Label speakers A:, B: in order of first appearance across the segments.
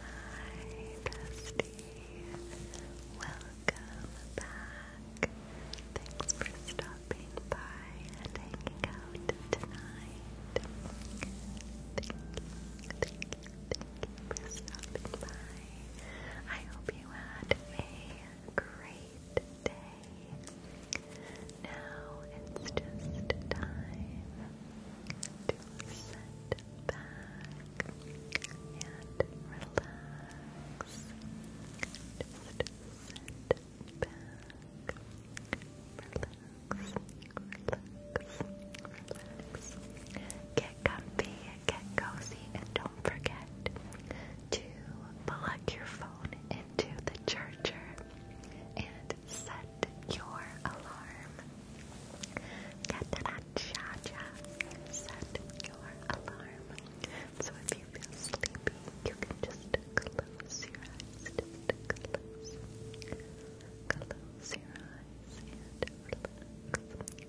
A: Hi, Dusty. Welcome back. Thanks for stopping by and hanging out tonight. Thank you, for stopping by. I hope you had a great day. Now it's just time to sit back and relax. Just sit back, relax, relax, relax. Get comfy, get cozy, and don't forget to plug your phone into the charger and set your alarm. Cha cha. Set your alarm. So if you feel sleepy, you can just close your eyes. close. Close your eyes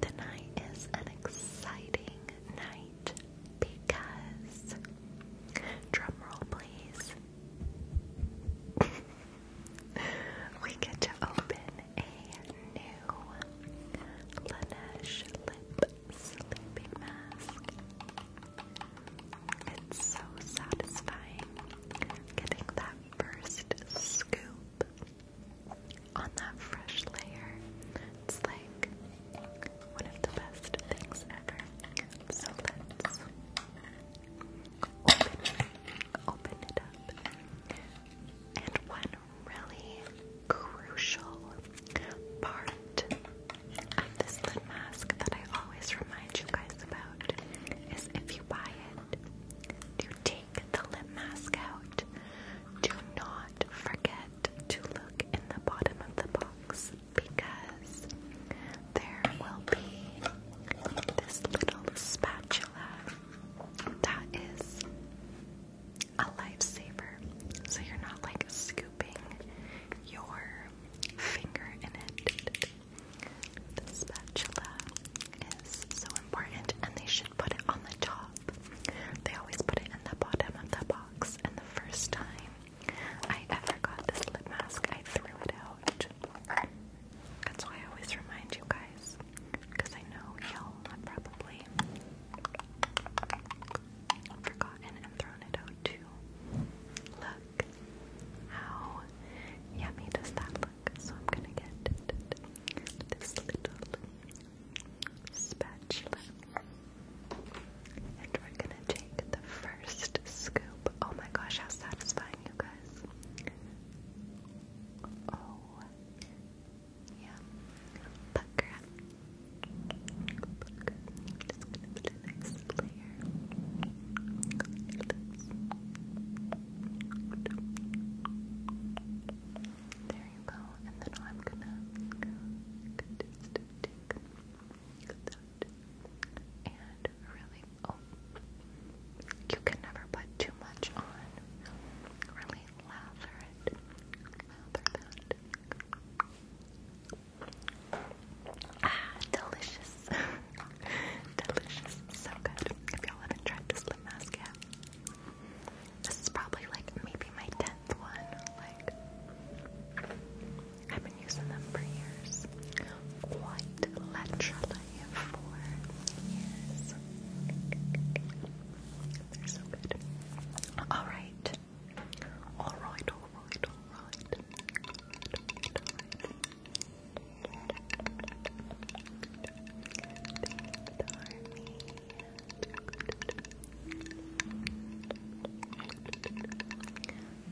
A: Tonight is an exciting night because drumroll please. we get to open a new Laneige lip sleeping mask. It's so satisfying getting that first scoop on that fresh layer. It's like one of the best things ever. So let's open, open it up. And one really crucial part of this lid mask that I always remind you guys about is if you buy it, to take take the lip mask out, do not forget to look in the bottom of the box because there will be this little spatula that is a lifesaver. So you're not like scooping your finger in it. The spatula is so important and they should put it on the top. They always put it in the bottom of the box and the first time I ever got this lip mask I threw it out. That's why I always remind you guys because I know y'all have probably forgotten and thrown it out too. Look how yummy does that look? So I'm gonna get this little spatula. And we're gonna take the first scoop. Oh my gosh, how satisfying, you guys! Oh, yeah. Pucker up. Just gonna put a nice layer on your there you go. And then I'm gonna just take and really. Oh, you can never put too much on. Really lather it. Lather that. Ah, delicious. delicious. So good. If y'all haven't tried this lip mask yet. This is probably like maybe my 10th one. Like, I've been using them for years. Quite literally for years. They're so good. Alright. Alright, alright, alright.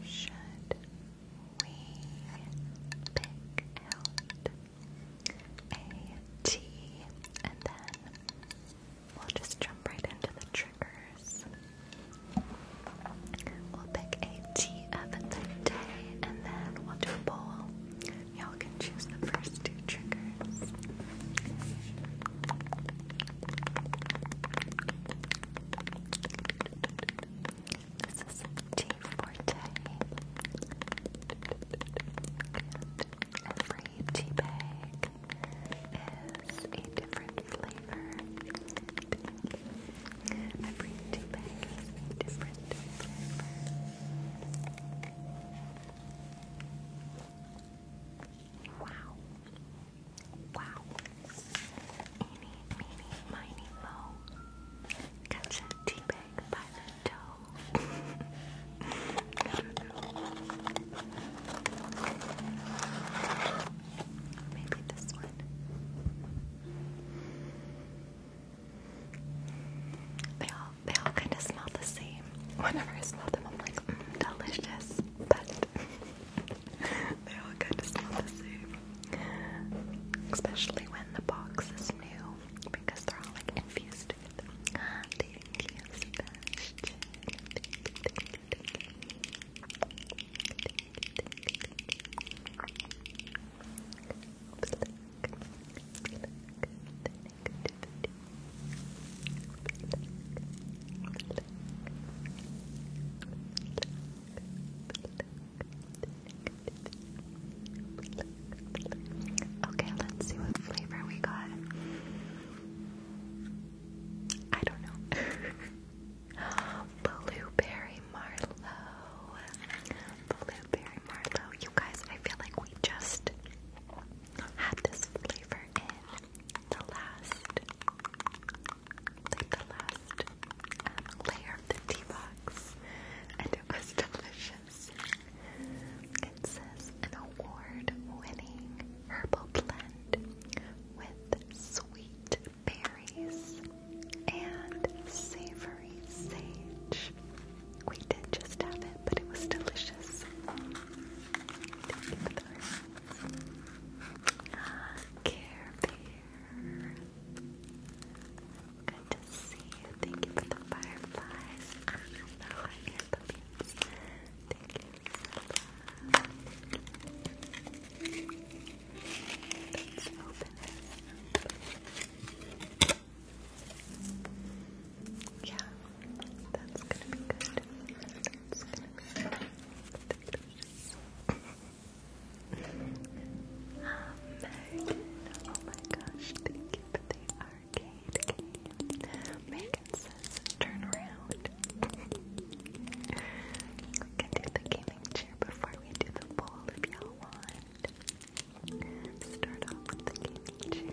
A: Should we pick a T and then we'll just jump right into the triggers? We'll pick a T of the day and then we'll do a bowl. Y'all can choose the first two triggers. This is T Forte. And every tea bag is a different flavor. Every tea bag different flavor. Wow. Wow. Eeny, meeny, miny, moe. Catch a tea bag by the toe. Maybe this one. They all they all kind of smell the same. Whenever I smell them, I'm like, mm, delicious. But they all kind of smell the same. Especially when the box is new because they're all like infused with Okay, let's see what flavor we got. I don't know. Blueberry Marlowe. Blueberry by You guys, I feel like we just had this flavor in the last, like the last um, layer of the tea box, and it was delicious. It an award-winning herbal blend with sweet berries and savory sage. We did just have it, but it was delicious. Thank you for the ah, Care Bear. Good to see you. Thank you for the fireflies. I know I hear the beans. Thank you Let's open it. Yeah, that's gonna be good. That's gonna be good. Um, oh my gosh, thank you the arcade game. Megan says turn around. we can do the gaming chair before we do the poll if you want. Start off with the gaming chair.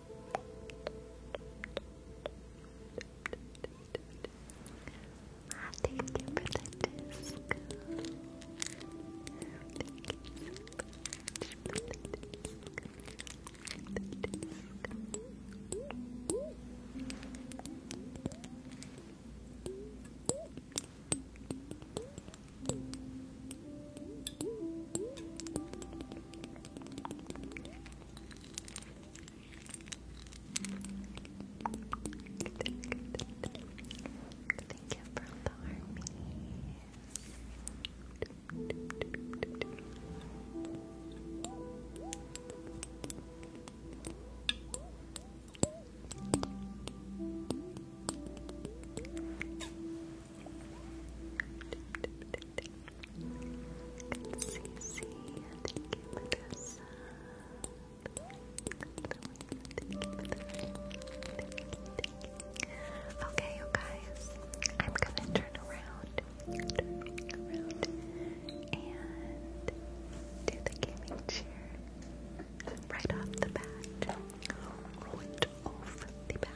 A: Thank you for the disc. Thank you for the army thank you Okay, you guys, I'm gonna turn around, and do the gaming chair right off the bat, right off the bat.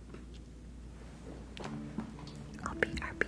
A: Oh, BRB. BRB.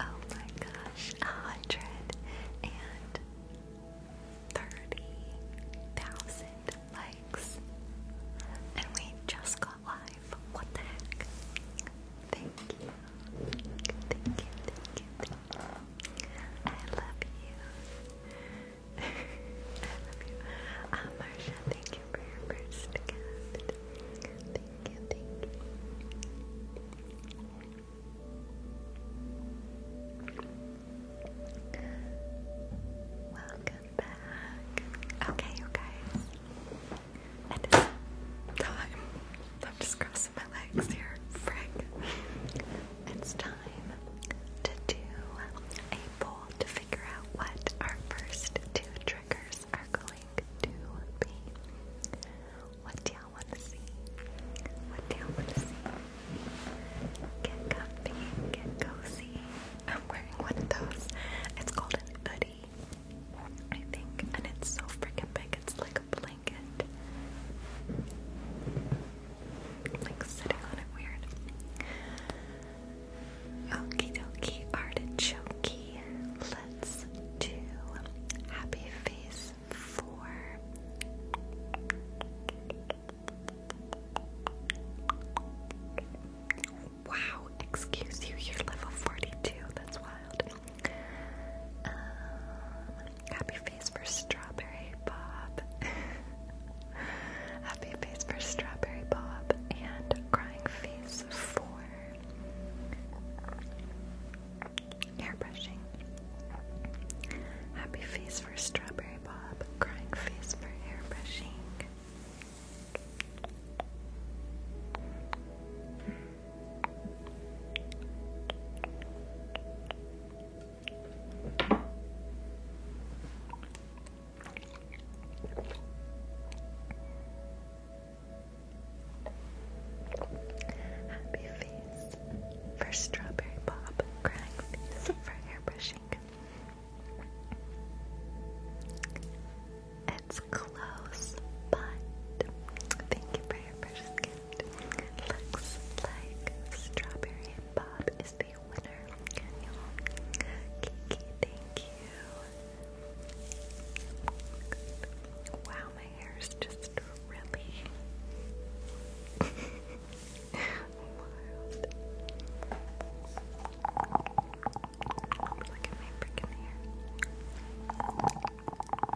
A: Oh my gosh, a hundred and thirty thousand likes. And we just got live. What the heck? Thank you. Thank you, thank you, thank you. I love you. I love you. Uh, thank you for your first gift. Thank you, thank you. Welcome back. Okay, you time. I'm just crossing my legs here. Frick. It's time to do a poll to figure out what our first two triggers are going to be. What do y'all want to see? What do y'all want to see? Get comfy, get cozy. I'm wearing one of those. It's called an hoodie, I think, and it's so freaking big. It's like a blanket. Like sitting on it weird. Okie dokie artichoke. Let's do happy face four. Wow, excuse you, you're level 42. That's wild. Um, Happy face for Strawberry Bob. Happy face for Strawberry Bob and crying face for hair brushing. Happy face for Strawberry Bob, crying face for hair brushing. Happy face for strawberry bob, crying face for airbrushing. It's close, but thank you for your precious Looks like Strawberry and Bob is the winner. Wow, my hair is just really wild. Look at my freaking hair.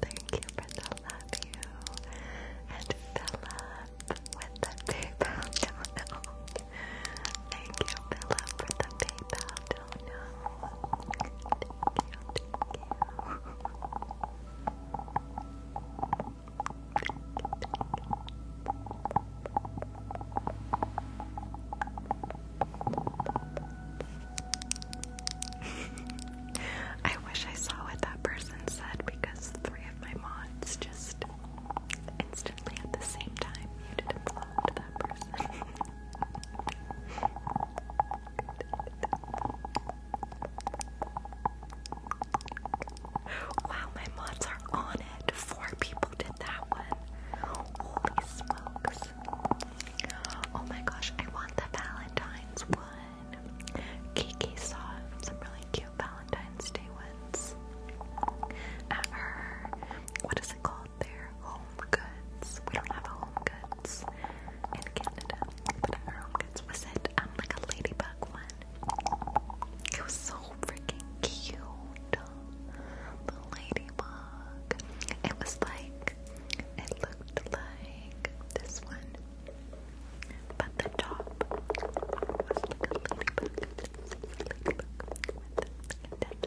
A: Thank you for the love you and fell up with the PayPal. Thank you, Philip, for the PayPal donut. Thank you, thank you. I wish I saw what that person said because three of my mods just instantly at the same time muted them wow, my mods are on it. Four people did that one. Holy smokes. Oh my gosh, I want the Valentine's one. Kiki saw some really cute Valentine's Day ones at what is it called there? Home goods. We don't have home goods in Canada, but our home goods was it um like a ladybug one. It was so freaking cute. The ladybug. It was like it looked like this one. But the top was like a ladybug.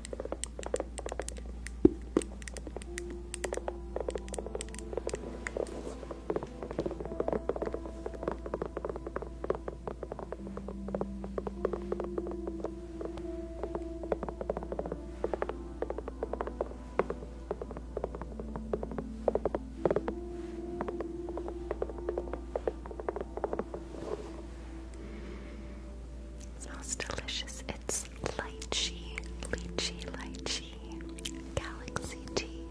A: It smells delicious. It's lychee, lychee, lychee, galaxy tea.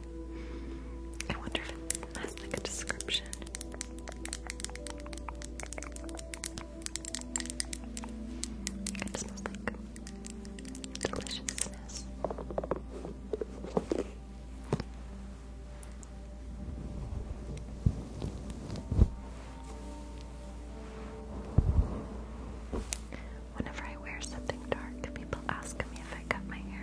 A: I wonder if it like a description. It smells like deliciousness. Whenever I wear something dark, people ask me if I cut my hair.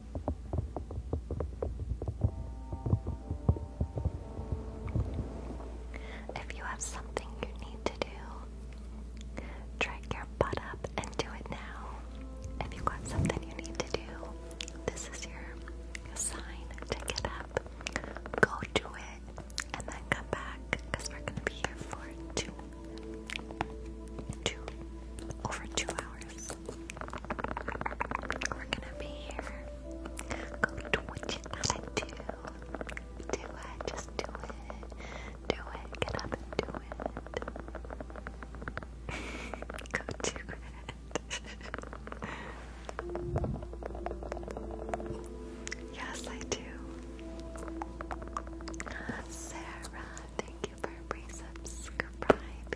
A: If you have something you need to do, drag your butt up and do it now. If you've got something you need to do, this is your sign to get up. Go do it and then come back because we're going to be here for two, two, over two hours. We're gonna be here. Go twitch it. Do, do it. Just do it. Do it. Get up and do it. Go do it. yes, I do. Sarah, thank you for pre-subscribing.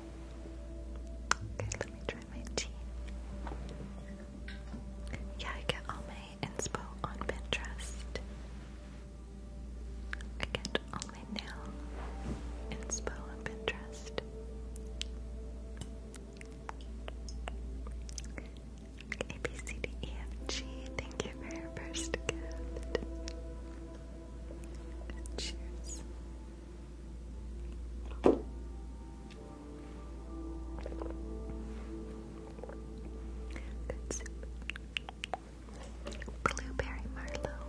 A: Okay, let me try my tea. Yeah, I get all my inspo on Pinterest. I get all my nail inspo on Pinterest. A B C D E F G. Thank you for your first gift. Cheers. Good soup. Blueberry Marlow.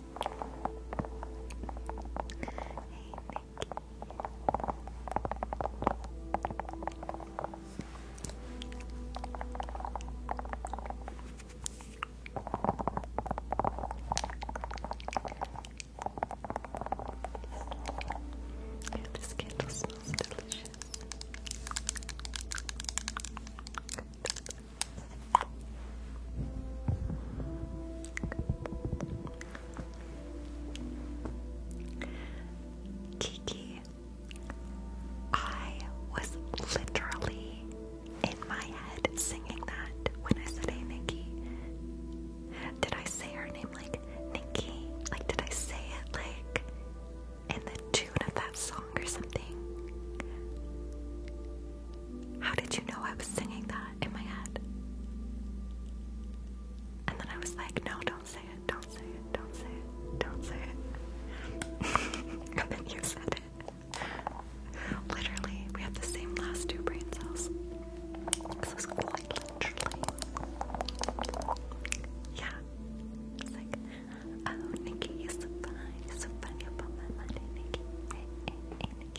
A: Yeah, this candle smells delicious. Kiki, I was literally in my head singing that when I said, Hey, Nikki. Did I say her name like Nikki? Like, did I say it like in the tune of that song or something? How did you know I was singing that in my head? And then I was like, no, don't say it, don't say it, don't say it, don't say it. and then you said it. Literally, we have the same last two brain cells. This is quite literally. Yeah. It's like, oh, Nikki, you're so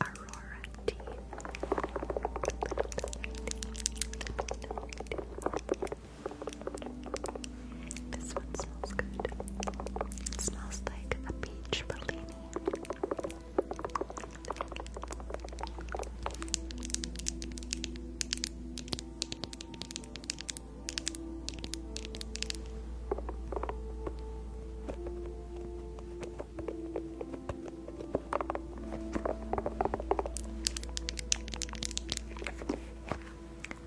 A: Aurora tea. This one smells good. It smells like a peach bellini.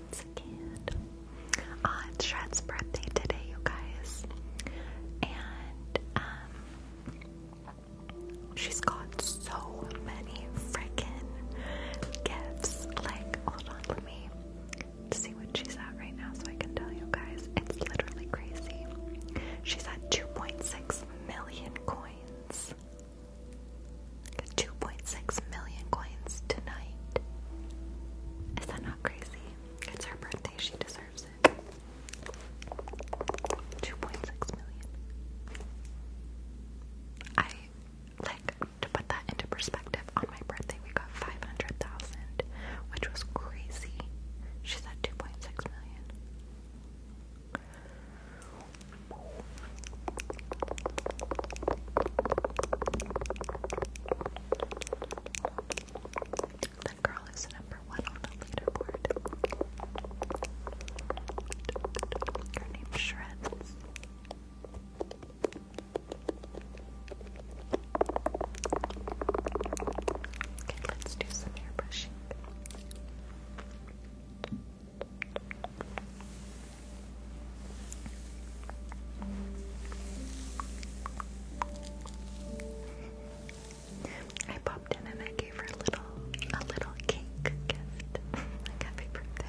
A: It's cute. Uh, it's Shred's birthday today, you guys. And, um, she's got so many freaking gifts. Like, hold on, let me see what she's at right now so I can tell you guys. It's literally crazy. She's at 2.6 million coins. 2.6 million coins tonight. Is that not crazy? It's her birthday, she deserves it. 2.6 million. I like to put that into perspective. On my birthday, we got 500,000, which was crazy. She's at 2.6 million. That girl is number one on the leaderboard. Her name shreds. Okay, let's do some hair I popped in and I gave her a little, a little cake gift, happy birthday.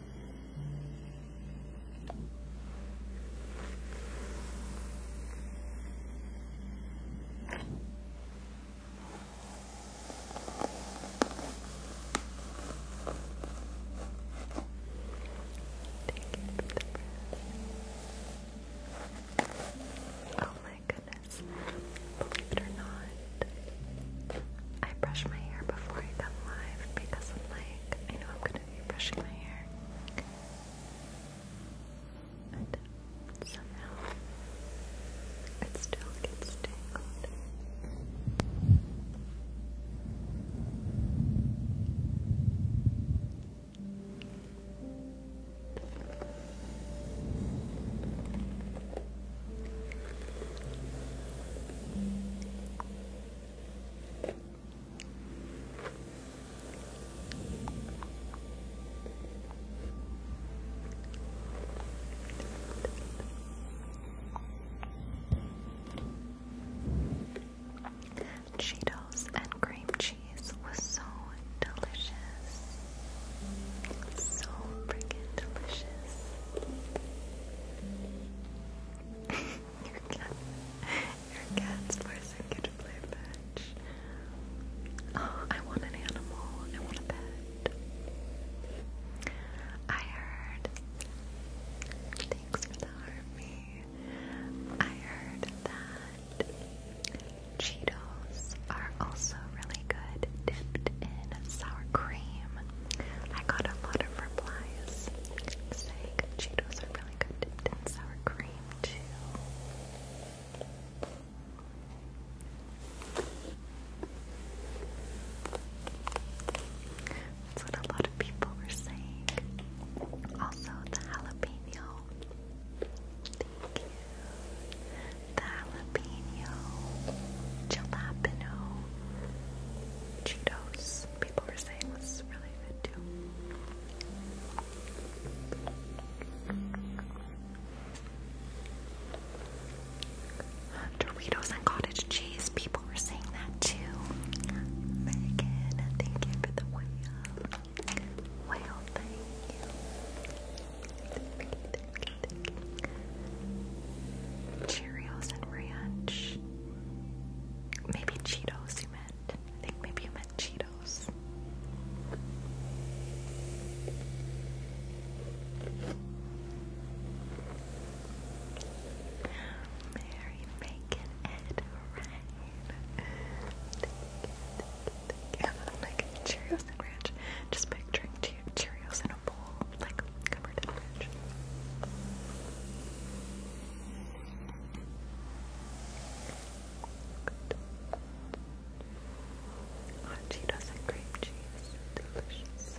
A: Oh my goodness. Believe it or not, I brush my hair before I come live because I'm like, I know I'm gonna be brushing my hair. And somehow it still gets tangled. Cheetos and cream cheese was so delicious. So freaking delicious your cat, your cat's forcing you to play fetch. Oh, I want an animal. I want a pet. I heard. Thanks for the army. I heard that Cheetos are also really good dipped in sour cream I got a lot of replies saying Cheetos are really good dipped sour cream too. That's what a lot of people were saying. Also, the jalapeno. Thank you. The jalapeno. Jalapeno. Cheetos. People were saying was really good too. Uh, Doritos and cottage cheese. People were saying that too. Megan, thank you for the whale. Whale, thank you. Cheerios and ranch. Maybe Cheetos you meant. I think maybe you meant Cheetos. Mary Bacon and Rain. Take like Cheerios and ranch. Just picturing Cheerios in a bowl, like covered in ranch. Hot Cheetos and cream cheese, delicious.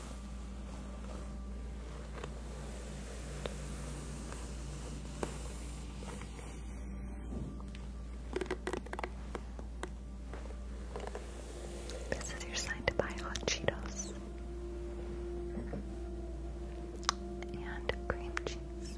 A: This is your sign to buy hot Cheetos and cream cheese.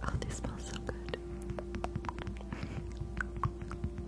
A: Oh, they smell good.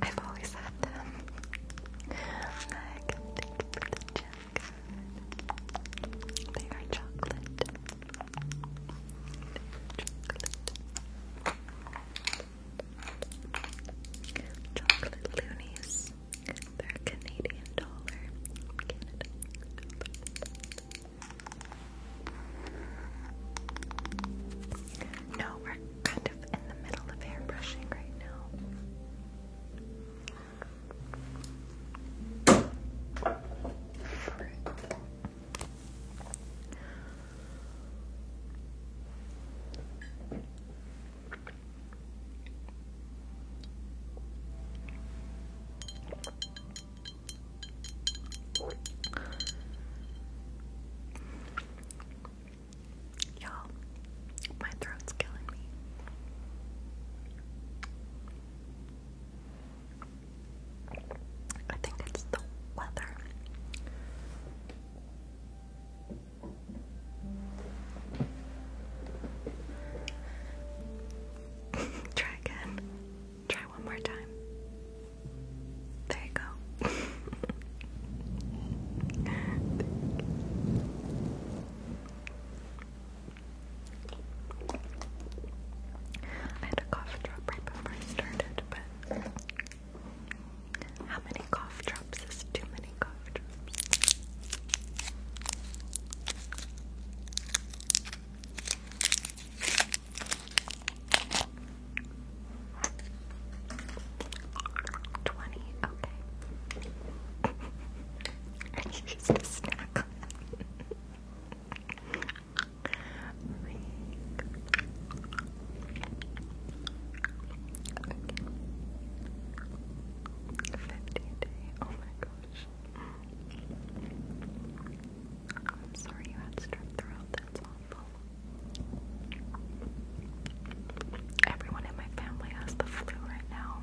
A: I've always had them. Meg, thank you for the jacket. They are chocolate. Chocolate. loonies. They're Canadian dollar. No, we're kind of in the middle of airbrushing right now. Y'all, my throat's killing me. I think it's the weather. Try again. Try one more time. There you go. I had a cough drop right before I started, but how many cough drops is too many cough drops? Twenty, okay. I used a snack. Fifty Oh my gosh. I'm sorry you had strep throat. That's awful. Everyone in my family has the flu right now.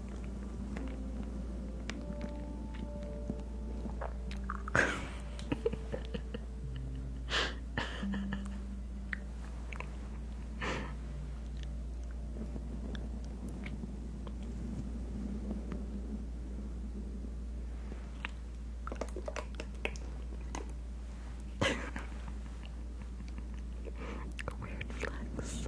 A: Weird flex.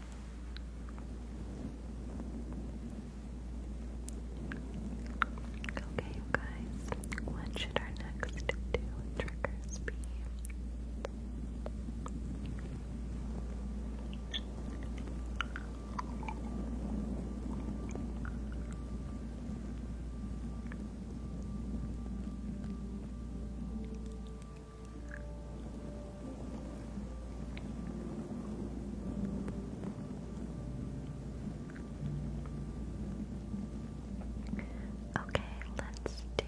A: Okay, you guys, what should our next two be? Okay, let's do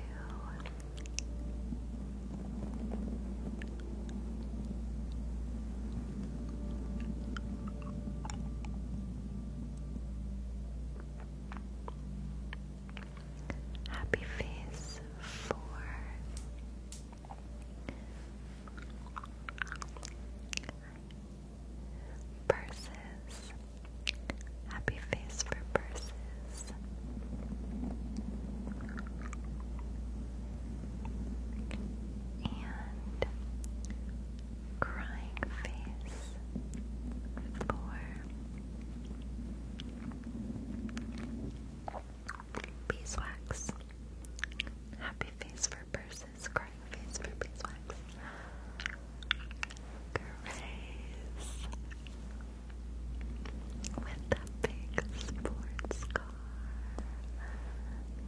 A: Happy Face 4. Purses. Happy Face for Purses. And Crying Face for Beeswax. Happy face for purses, crying face for beeswax. Grace. With the big sports car.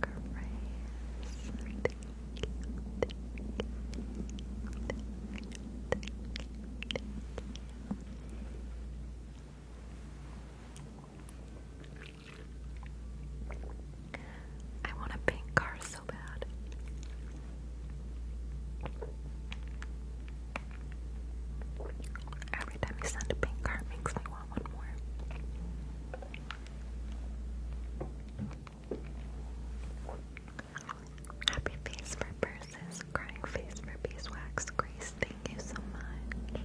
A: Grace. I want a pink car so bad. Every time you send a pink car, makes me want one more. Happy face for purses crying face for beeswax. Grace, thank you so much.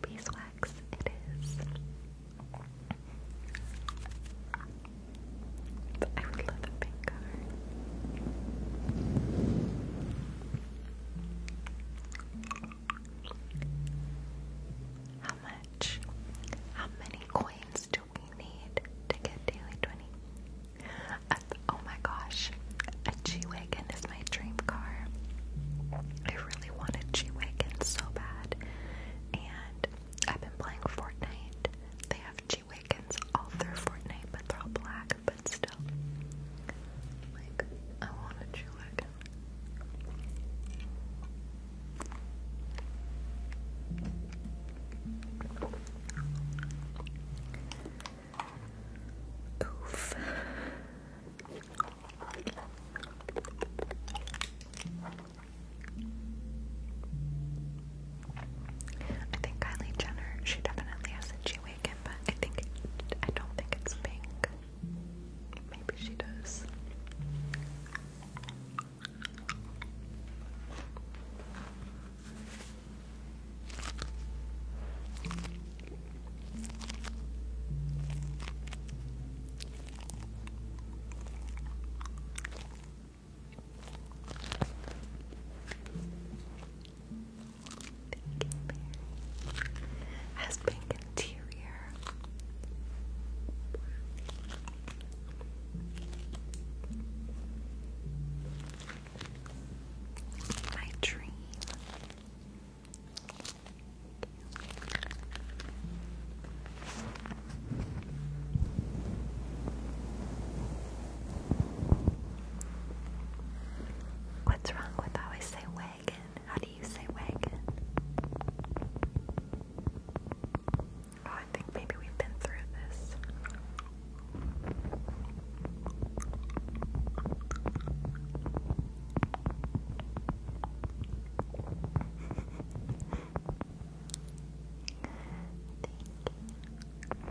A: Beeswax, it is. I would love a pink color. How much? How many coins do we need to get daily 20? Uh, oh my gosh, a G Wagon is my dream car. I really wanted a G Wagon so bad. And I've been playing Fortnite. They have G Reggie all through Fortnite, but they're all black, but still. Like, I want a Jew Wiggins. Oof. I think Kylie Jenner, she definitely has a G Megan, but I think I don't think it's pink. Maybe she does. Thank you, Has pink interior. My dream. What's wrong with I always say wagon? How do you say wagon? Oh, I think maybe we've been through this.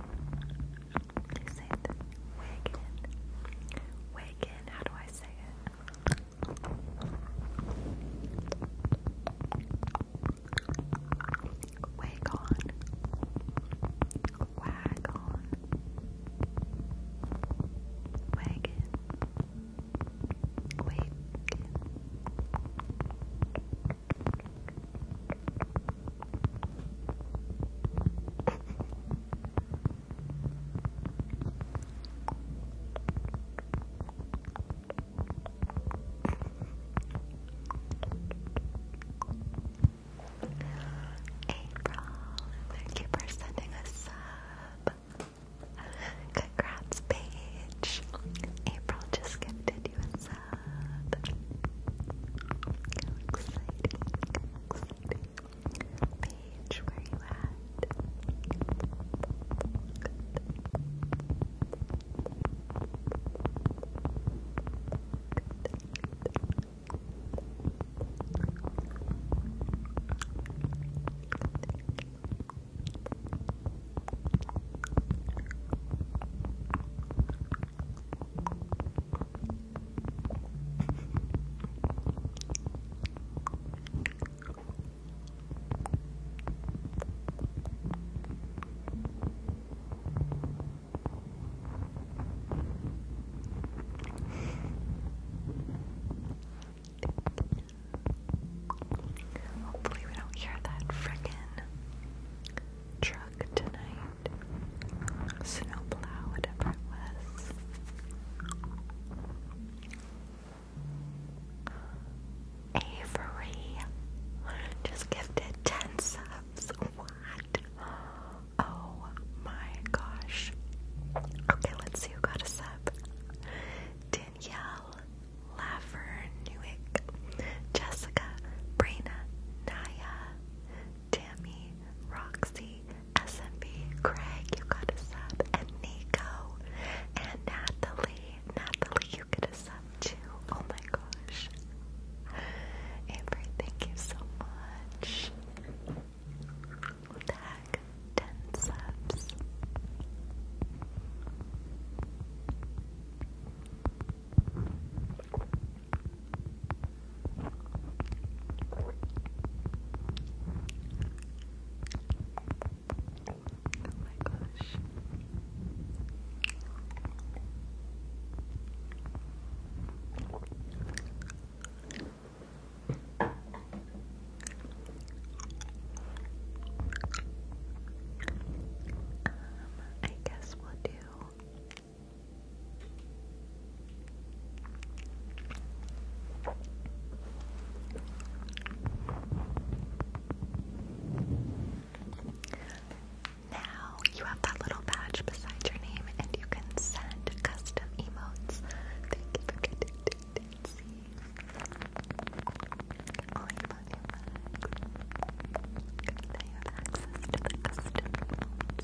A: Thank They say wagon. Wagon, how do I say it? Wake on. Wagon. Wagon. April, thank you for sending a sub. Congrats, Paige. April just gifted you a sub. exciting! Paige, where you at? Good. Hopefully, we don't hear that frickin' truck tonight snowplow, whatever was. Avery just gifted 10 subs. What? Oh my gosh. Okay, let's see who got a sub. Danielle, Laver, Newick, Jessica, Brina, Naya, Tammy, Roxy, SMB, Craig, you got a sub, and Nico, and Natalie. Natalie, you get a sub too. Oh my gosh. Avery, thank you so much. Tag 10 subs. Oh my gosh. Um, I guess we'll do now you have that little badge beside your name, and you can send custom emotes. Thank you for getting to Daisy. Only about your have access to the custom emotes.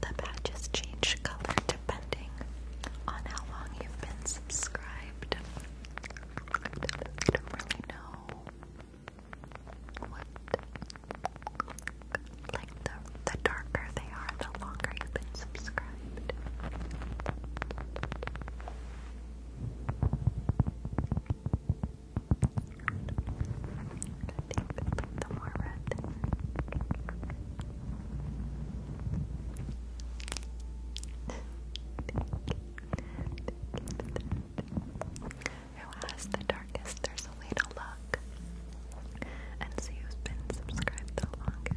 A: The badges change color depending on how long you've been subscribed. I don't really know like the the darker they are, the longer you've been subscribed. I think Who has the darkest? There's a to look and see who's been subscribed the longest.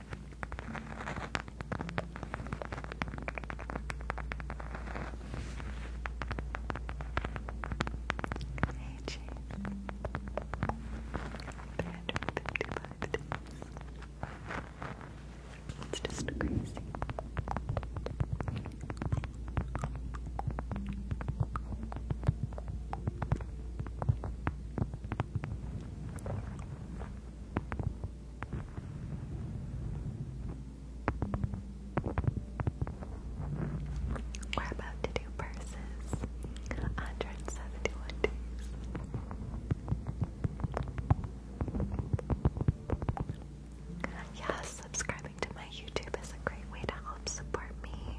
A: Hey, Chief. 355 It's just crazy. We're about to do purses. 171 days. Yeah, subscribing to my YouTube is a great way to help support me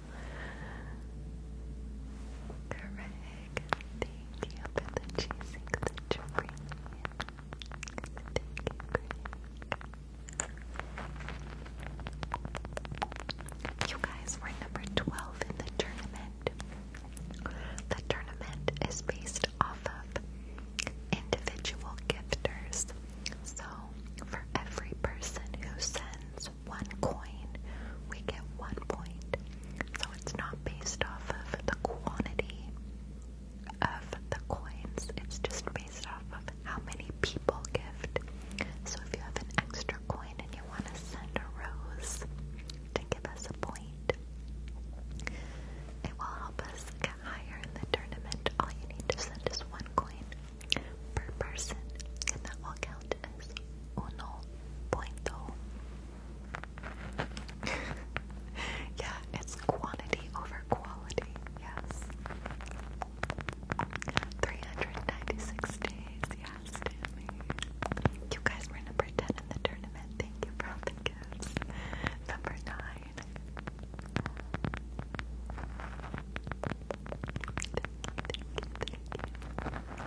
A: Greg, the cheesy that you You guys were number 12 in the tournament. The tournament is based off of individual gifters. So, for every person who sends has one coin, we get one point. So it's not based off of the quantity of the coins, it's just based off of how many people gift. So if you have an extra coin and you want to send a rose to give us a point, it will help us get higher in the tournament. All you need to send is one coin per person, and that will count as uno punto. yeah, it's quantity over quality, yes. 396 days, yes, Tammy. You guys were number 10 in the tournament. Thank you for all the gifts. Number 9. thank you.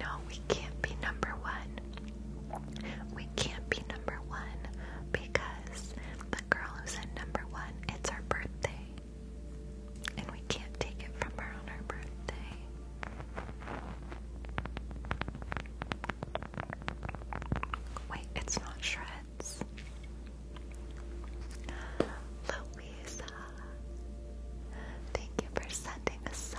A: No, we can't be number one. We can't be number one because the girl who's in number one, it's our birthday. And we can't take it from her on her birthday. Wait, it's not shreds. Louisa, thank you for sending a sub.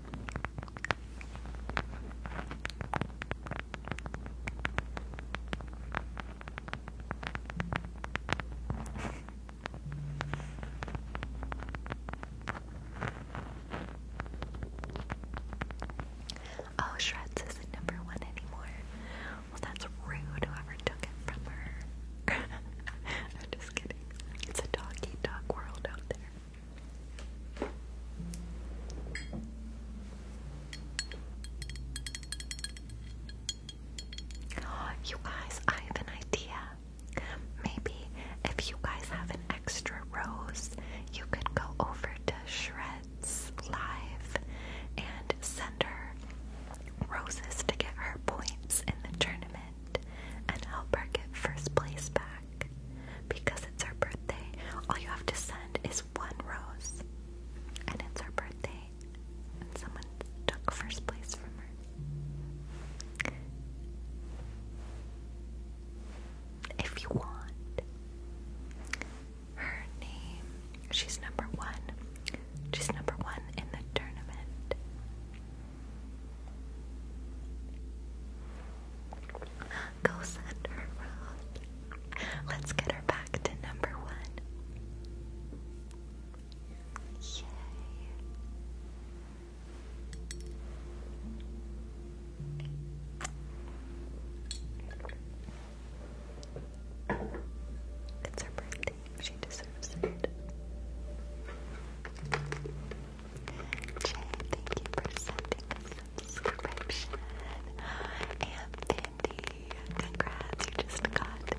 A: oh, Shreds isn't number one anymore. Well, that's rude, whoever took it from her. It's a dog eat dog world out there. you guys, I have an idea. Maybe if you guys have an extra rose, you could go over to Shreds Live and send her roses to get her points in the tournament and help her get first place back. Because it's her birthday, all you have to send is one rose. And it's her birthday, and someone took first place from her. If you want her name, she's number one. She's number one in the tournament. Go send Let's get her back to number one. Yay. It's her birthday. She deserves it. Jay, thank you for sending the subscription. And Andy, congrats, you just got a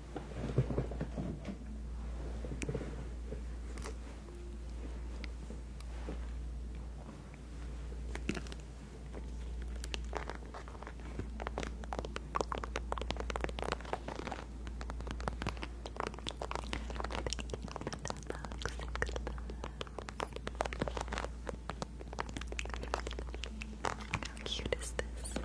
A: How cute is this?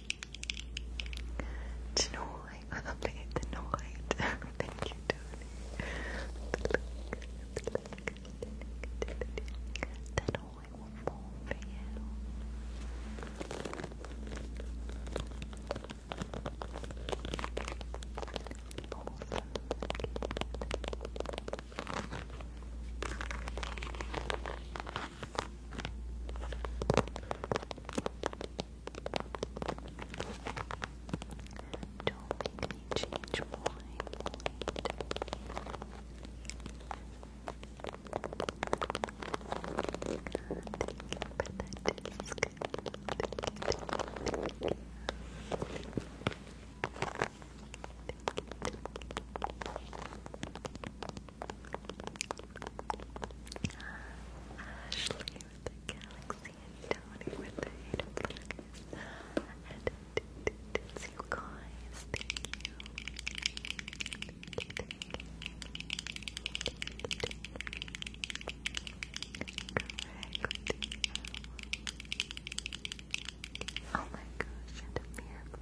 A: Tonight, I'll play tonight. Thank you, darling. That all I want more don't make me change my mind. thank you. Ashley with the galaxy and Tony with the eight of flags. And you guys. Thank you. Oh my gosh, and a miracle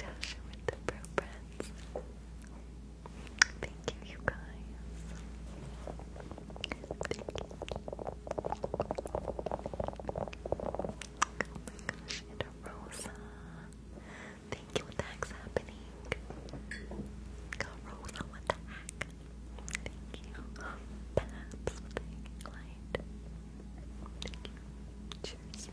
A: Tasha with the pro brands. Thank you, you guys. Thank you. Oh my gosh, and Thank you, what the heck's happening? Go Rosa, what the heck? Thank you. Perhaps Thank you, Cheers.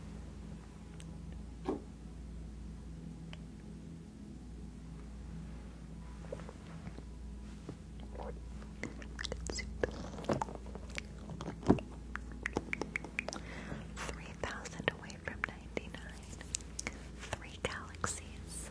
A: Three thousand away from ninety nine. Three galaxies.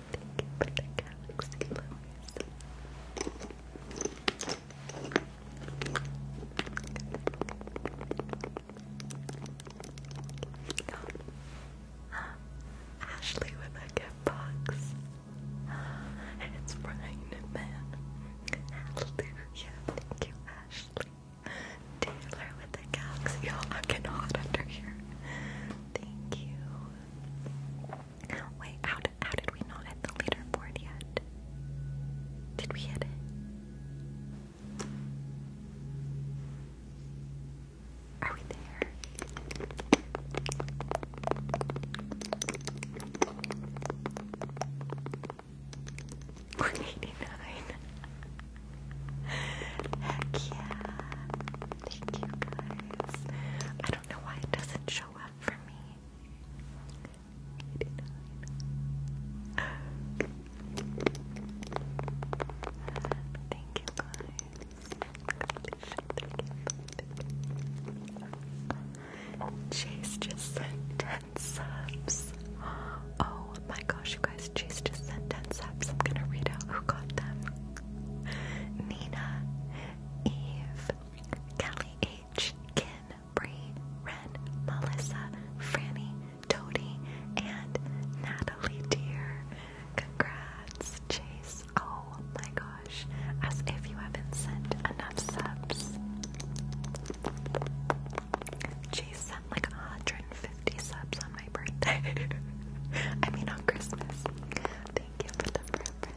A: Thank you Ashley with a gift box. It's Pregnant Man. Hallelujah. Thank you, Ashley. Taylor with the galaxy. Y'all, I cannot under here. Thank you. Wait, how did, how did we not hit the leaderboard yet? Did we hit it? Are we there? Heck yeah. Thank you guys. I don't know why it doesn't show up for me. Thank you guys. Chase just sent 10 subs. Oh my gosh, you guys, Chase just sent 10 subs. I'm gonna read out who got them. Nina, Eve, Kelly H, Kin, Bree, Ren, Melissa, Franny, Tody, and Natalie Dear. Congrats, Chase. Oh my gosh. As if you haven't sent enough subs. Chase sent like a 150 subs on my birthday. I mean on Christmas. Thank you for the birthday.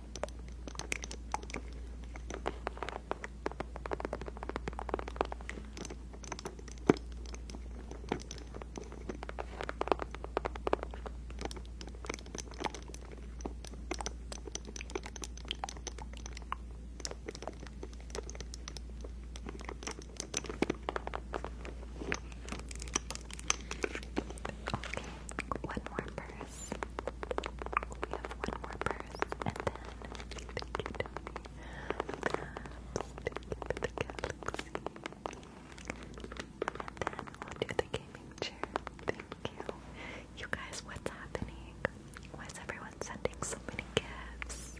A: Okay, one more bird. We have one more purse, and then thank you, Tony. the galaxy. then we'll do the gaming chair. Thank you. You guys, what's happening? Why is everyone sending so many gifts?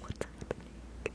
A: What's happening?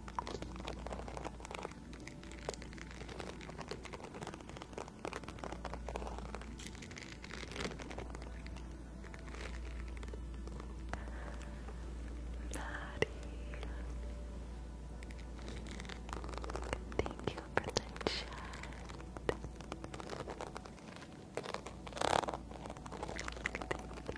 A: Maddie. Thank you for the chat. Thank you.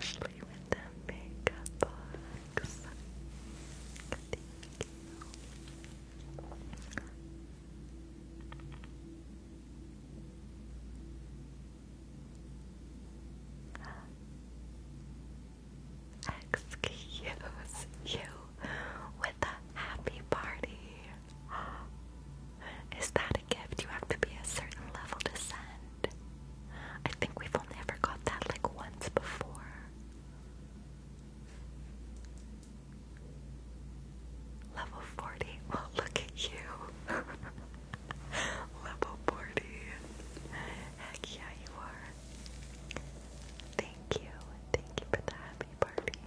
A: Ashley with the makeup on. Thank you. Excuse you with a happy party. Is that a gift you have to be a certain level to send? I think we've only ever got that like once before. Level 40. Well, look at you. Level 40. Heck yeah, you are. Thank you. Thank you for the happy party.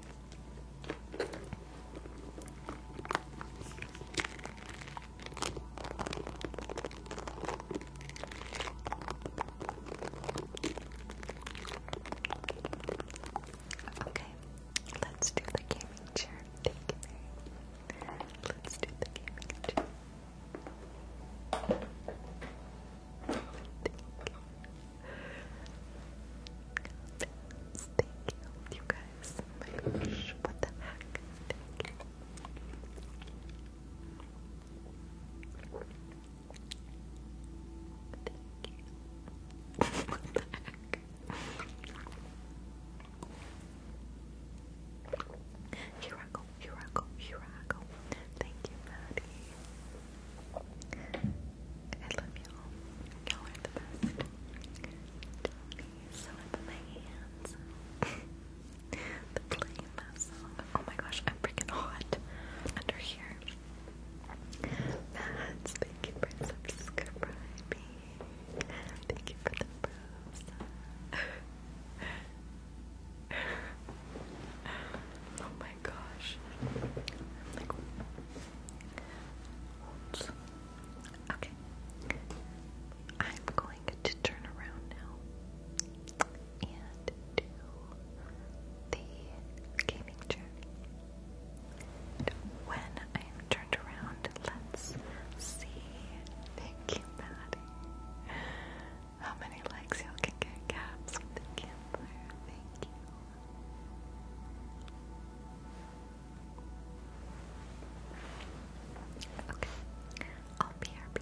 A: Okay, let's do the gaming chair. Let's do the gaming chair. Thank you. Thank you, you guys. Oh what the heck? Here I go, here I go, here I go. Thank you, Maddie. I love y'all. Y'all are the best. Don't be my hands. The play mess. Oh my gosh, I'm freaking hot under here. Mads, thank you for subscribing. Thank you for the rose. oh my gosh. Okay. I'm going going to turn around now and do the gaming chair. when I am turned around, let's see. Thank you, Maddie. How many likes you can get caps with the Kindler? Thank you. Okay, I'll BRB.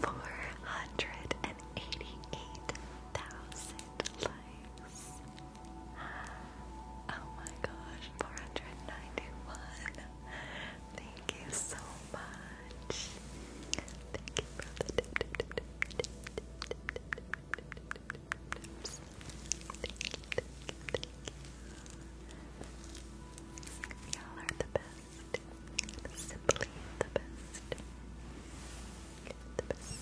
A: Four hundred and eighty-eight thousand likes. Oh my gosh, four hundred ninety-one. Thank you so much much. Thank you all are the best. Simply the best. The best.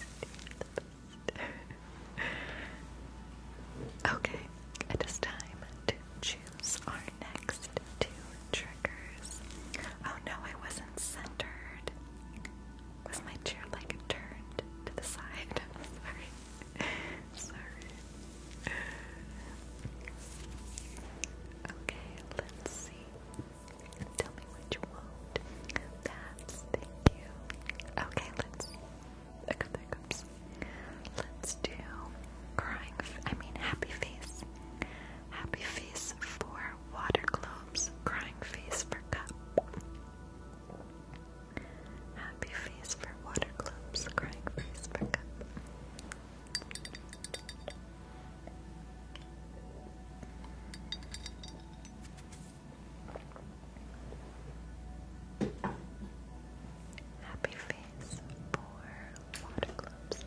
A: The best. okay, it is time to choose our next two triggers. Oh no, I wasn't centered. Was my chair like turned to the side? sorry. sorry. Okay, let's see. Tell me what you That's thank you. Okay, let's hiccups, hiccups. Let's do crying. I mean, happy face. Happy face for water globes, crying face for cup. Happy face for water globes, crying face for cup. Happy face for water globes.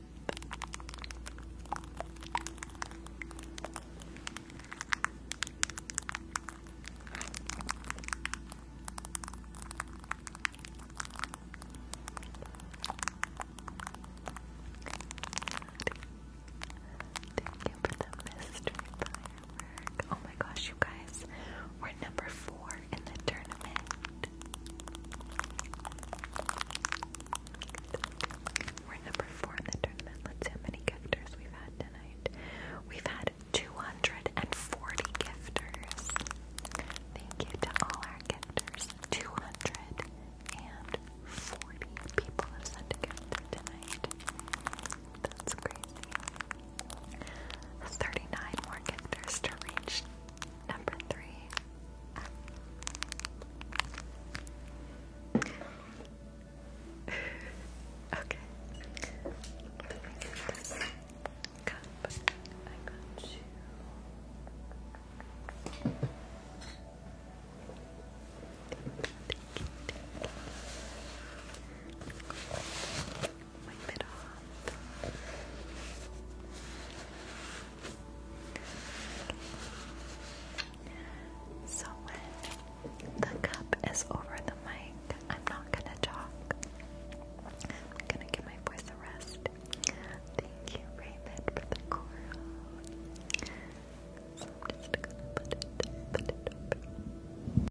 A: Thank you for the mystery Oh my gosh, you guys, we're number four in the tournament. We're number four in the tournament. Let's see how many gifters we've had tonight. We've had 240 gifters. Thank you to all our gifters. 240 people have sent a tonight. That's crazy. 39 more gifters to reach number three okay. Let me get this cup. I got you. Thank you, Wipe it off. So when the cup is over the mic, I'm not gonna talk. I'm gonna give my voice a rest. Thank you, Raymond, for the coral. So I'm just gonna put it, put it up. Okay.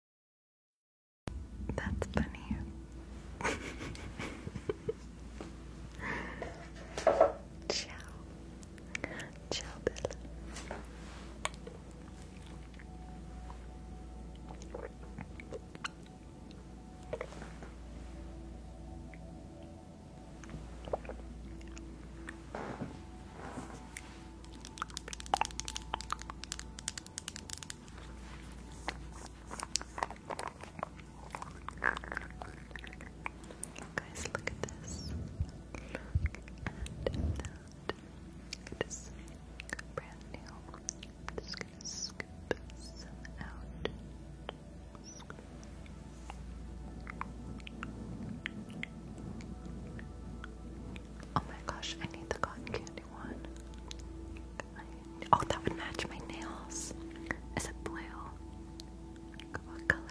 A: That's funny. Ciao. Ciao, Bella. Guys, look at this. Look at that. brand new. I'm just gonna scoop some out. Oh my gosh, I need the cotton candy one. Oh, that would match my nails. Is it blue? What color?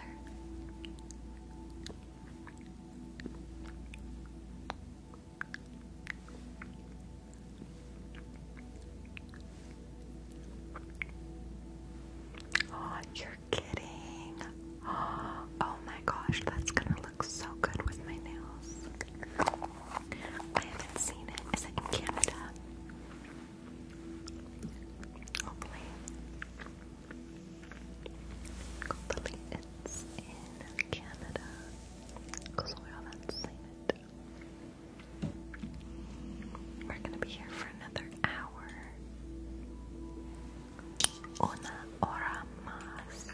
A: Oh, you're kidding. Oh my gosh, that's gonna look so good with my nails. I haven't seen it. Is it in Canada? Hopefully. Hopefully it's in Canada. Because we haven't seen it. We're gonna be here for another hour. Una hora más.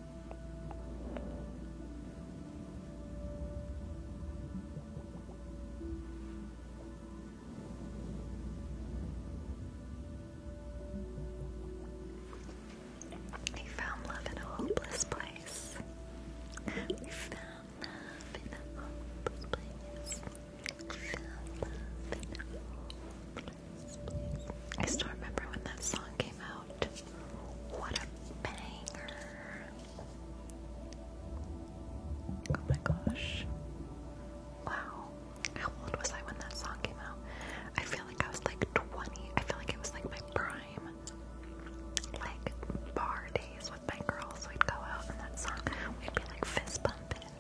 A: We found love in a hopeless place. We found love in a hopeless place. We found love in a hopeless place. I still remember when that song came out. What a banger! Oh my gosh. Wow. How old was I when that song came out? I feel like I was like 20. I feel like it was like my prime, like bar with my girls. We'd go out and that song, we'd be like fist bumping.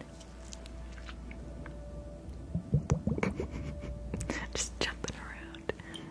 A: Just jumping around.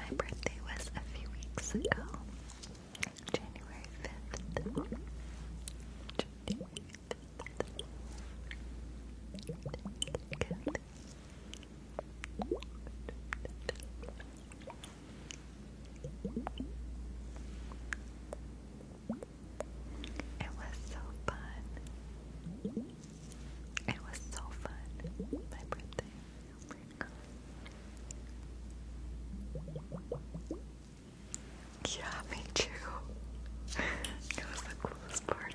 A: My birthday was a few weeks ago, January 5th. It was so fun. It was so fun. My birthday. Yeah, me too. it was the coolest part.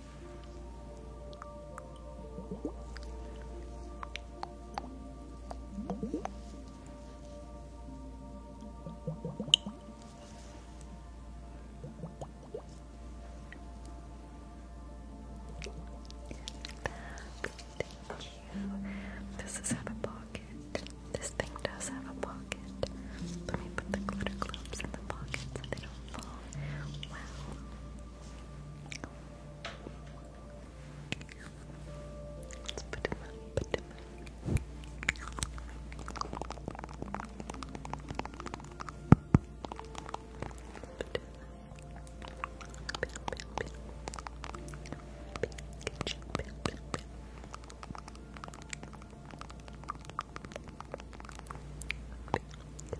A: Thank you. this have a pocket? This thing does have a pocket. Let me put the glitter globes in the pocket so they don't fall. Wow. Let's put him up, put him up. Put him up.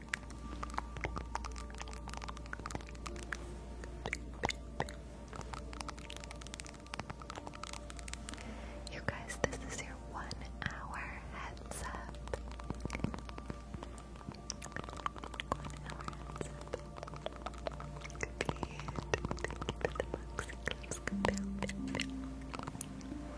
A: You guys, this is your one hour heads up. Thank you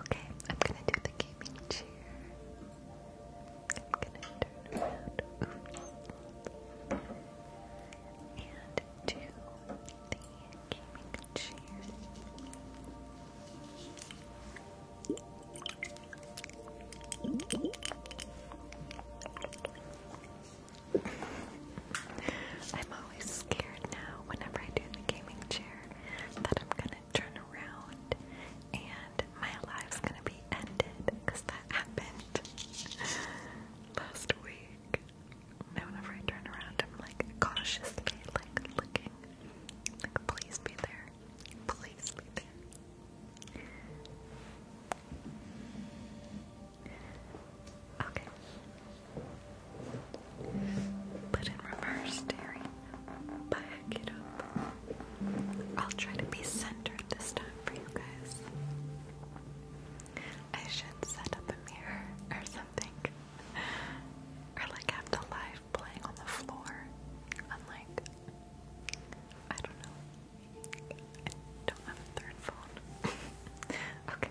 A: Okay, I'm gonna do the gaming chair. I'm gonna turn around. And do the gaming chair. I'm always scared now whenever I do the gaming chair that I'm gonna turn around and my life's gonna be ended because that happened last week. Now whenever I turn around I'm like cautiously like looking. Like please be there. Please be there. Okay. Put in reverse, Terry. Back it up. I'll try to be centered this time for you guys. I should set up a mirror or something. Or like have the live playing on the floor. i I don't know. I don't have a third phone. okay.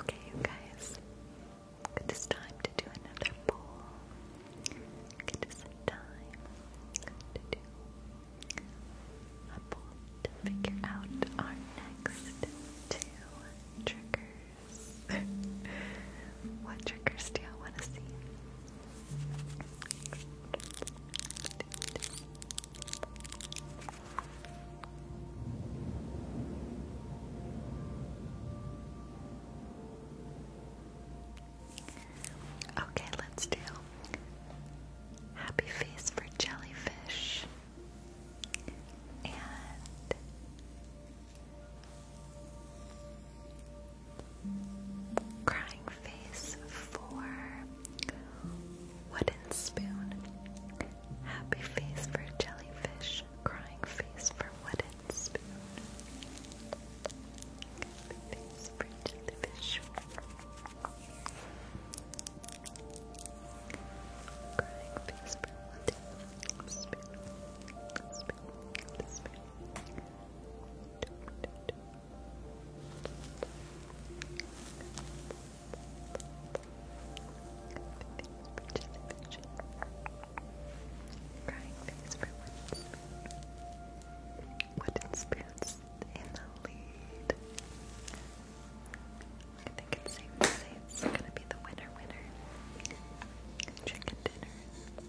A: Okay, guys. It is time to do another poll. It is time to do a poll to figure out our next two triggers. what triggers do y'all want to see? Okay, let's do happy face for jellyfish and Crying face for wooden spoon. Happy face for jellyfish. Crying face for wooden spoon. Happy face for jellyfish. Crying face for wooden spoon. Crying face for once. Wooden spoons in the lead. I think it's safe to say it's gonna be the winner winner. Chicken dinner.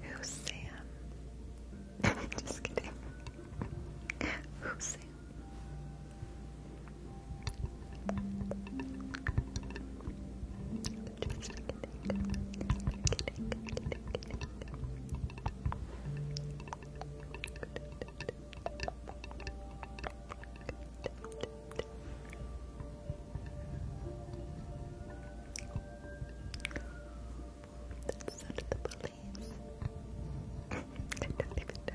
A: Who's Sam? Just kidding. Who's Sam? Just kidding. Just kidding. Kidding. Kidding. That's so the police. I don't even know.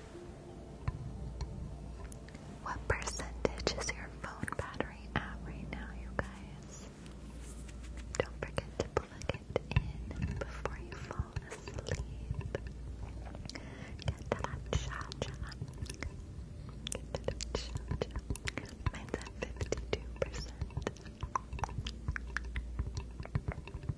A: what percentage is your phone battery at right now, you guys? Don't forget to plug it in before you fall asleep. Get that charger. Get Mine's at 52%.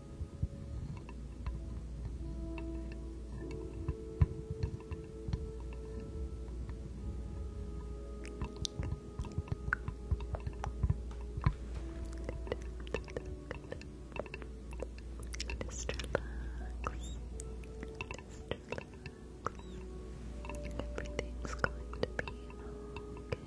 A: Just relax. Everything's going to be okay.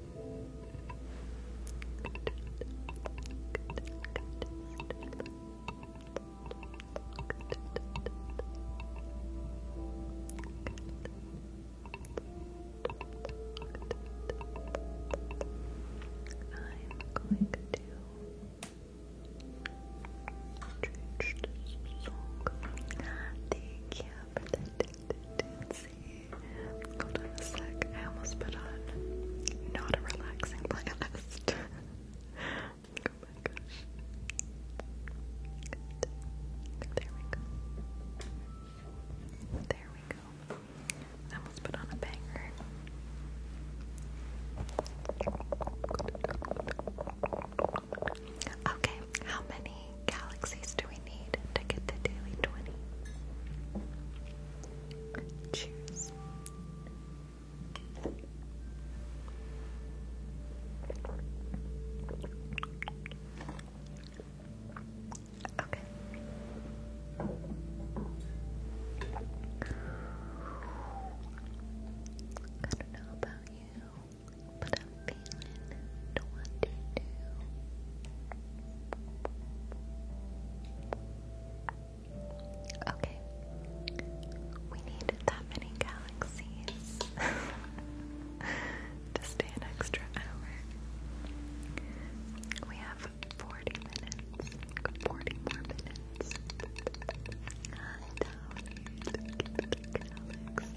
A: going to change this song. Thank you Hold on a sec. I almost put on not a relaxing playlist. oh my gosh. There we go. There we go. almost put on a banger. Okay, how many many galaxies do we need to get the daily 20? Cheers. Okay. I don't know about you, but I'm feeling twenty-two. Okay, we need that many galaxies to stay an extra hour. We have forty minutes, forty more minutes. I don't need galaxies.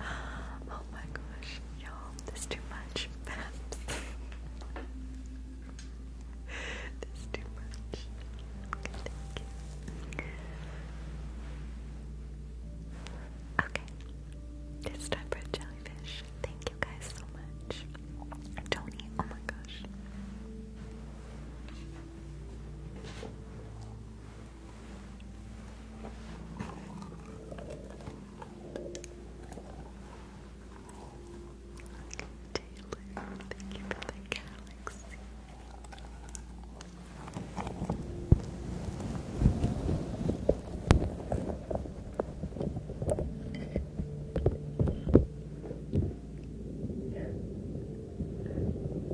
A: oh my gosh, y'all, this is too much. this is too much. Thank you. Okay, it's time for a jellyfish. Thank you guys so much. Tony, oh my gosh. Taylor, thank you for the galaxy.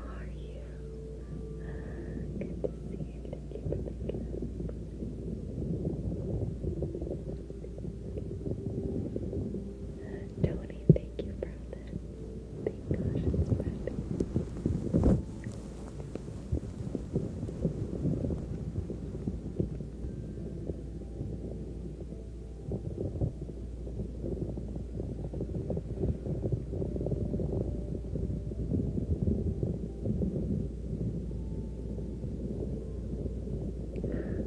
A: are you? Good to see you. Thank you for the gift. Tony, thank you for that. Thank gosh it's red.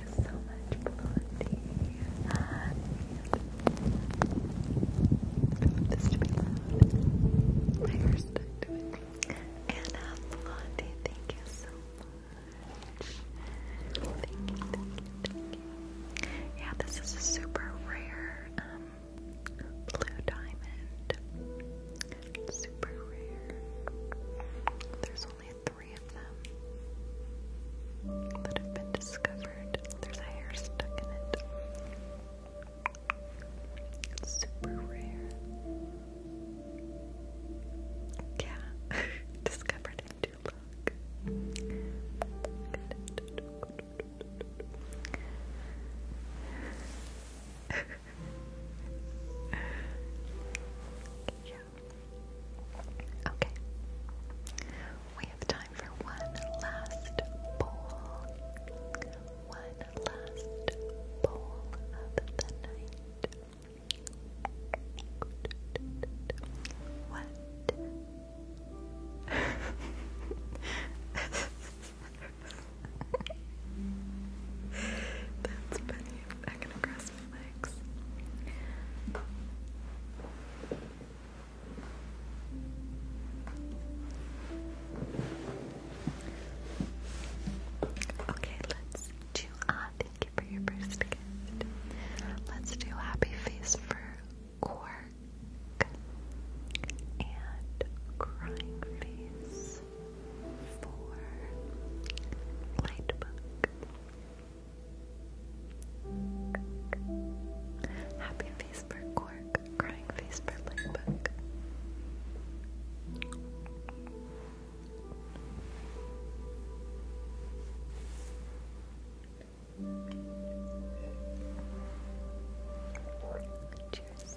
A: so much, Blondie. And this to be loud. My first time doing Blondie, thank you so much. Thank you, thank you, thank you. Yeah, this is a super rare blue diamond. Super rare. There's only three three of them that have been discovered. There's hair stuck in it. It's super rare. Yeah, discovered in Duloc. yeah, Okay. We have time for one last bowl. One last bowl of the night. What? That's funny. I'm gonna cross Okay, let's do uh, thank you for your first gift. Let's do happy face for Quark and crying face for Lightbook. Happy face for Quirk. crying face for playbook. Cheers.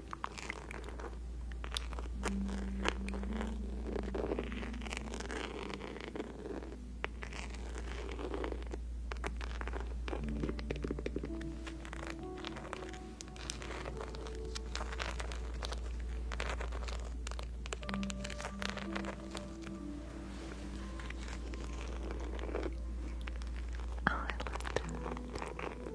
A: Oh, I love that.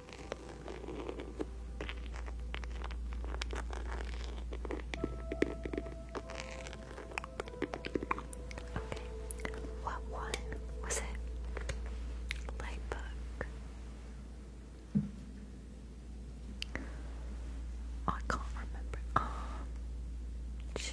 A: Okay. What one was it? Lightbook. Oh, I can't remember.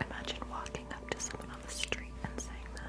A: Imagine walking up to someone on the street and saying that.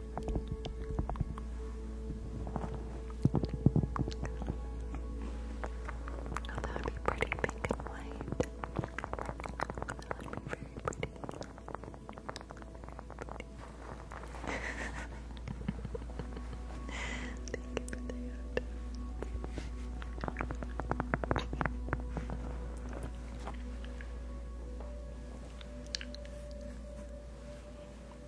A: Oh, that would be pretty pink and white. That would be very pretty. Thank you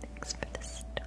A: Thanks for the star.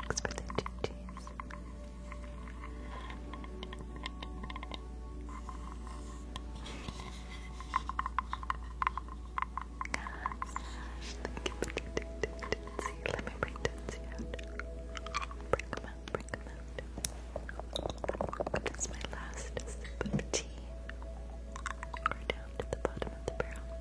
A: Thanks for the two cheese let me bring Tootsie out. Bring them out, bring them out. That's my last sip We're down to the bottom of the barrel.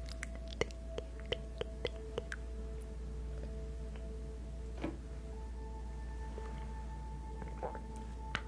A: thank you.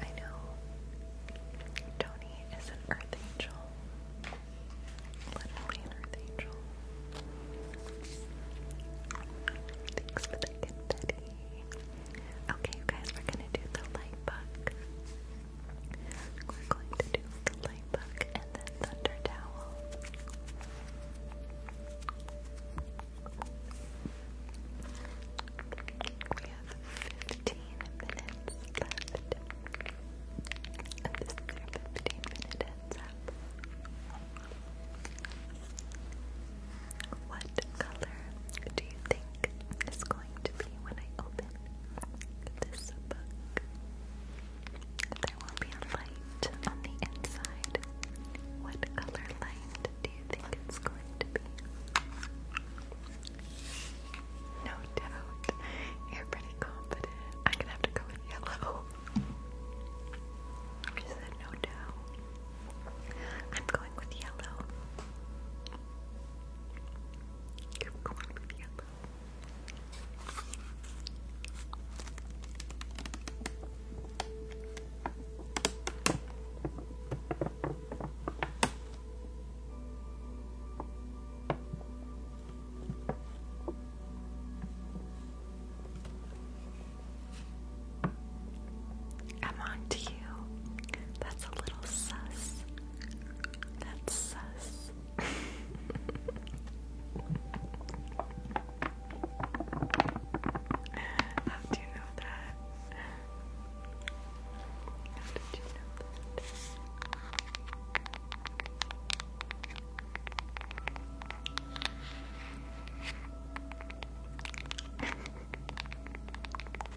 A: I know Tony is an earth angel. Literally an earth angel. Thanks for the confetti. Okay, you guys, we're gonna do the light book. We're going to do the light book and then thunder towel. We have 15 minutes left. And this 15 minute heads up. What color do you think is going to be when I open this book? There will be a light on the inside. What color light do you think it's going to be? No doubt. You're pretty confident. I'm gonna have to go with yellow. She said no doubt. I'm going with yellow. You're going with yellow. I'm on to you. That's a little sus. That's sus. How do you know that? How did you know that?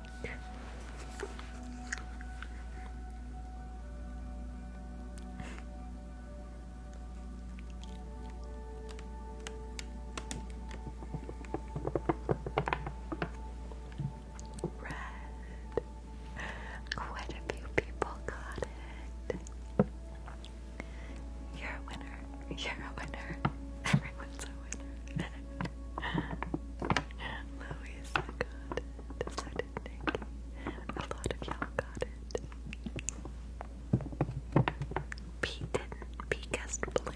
A: Red. Quite a few people got it. You're a winner. You're a winner. Everyone's a winner. Louise got and so did Nikki. A lot of y'all got it. Pete didn't. Pete guessed blue.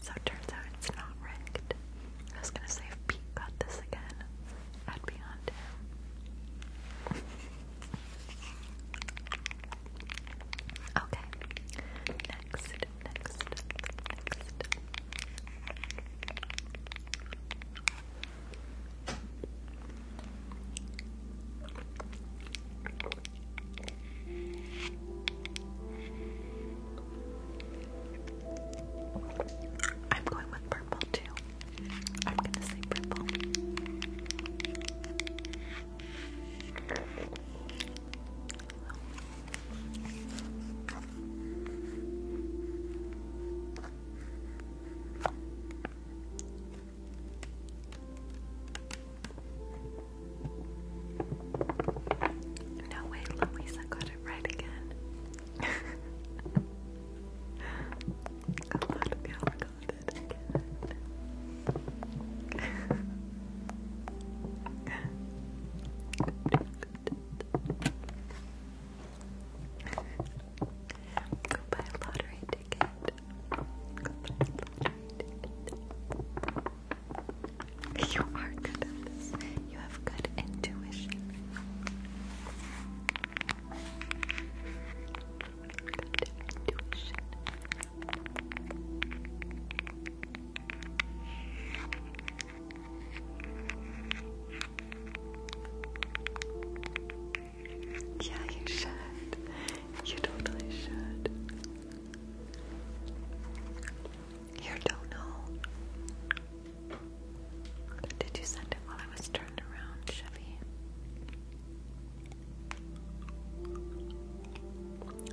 A: So turns out it's not rigged. I was gonna say if Pete got this again, I'd be on to Okay. Next, next, next. I'm going with purple too. I'm going to say purple. No way, Louisa got it right again. A lot you got it again. Go buy a lottery ticket. You are good at this. You have good intuition. Good intuition. Yeah, you should. You totally should. Here, do Did you send it while I was turned around, Chevy?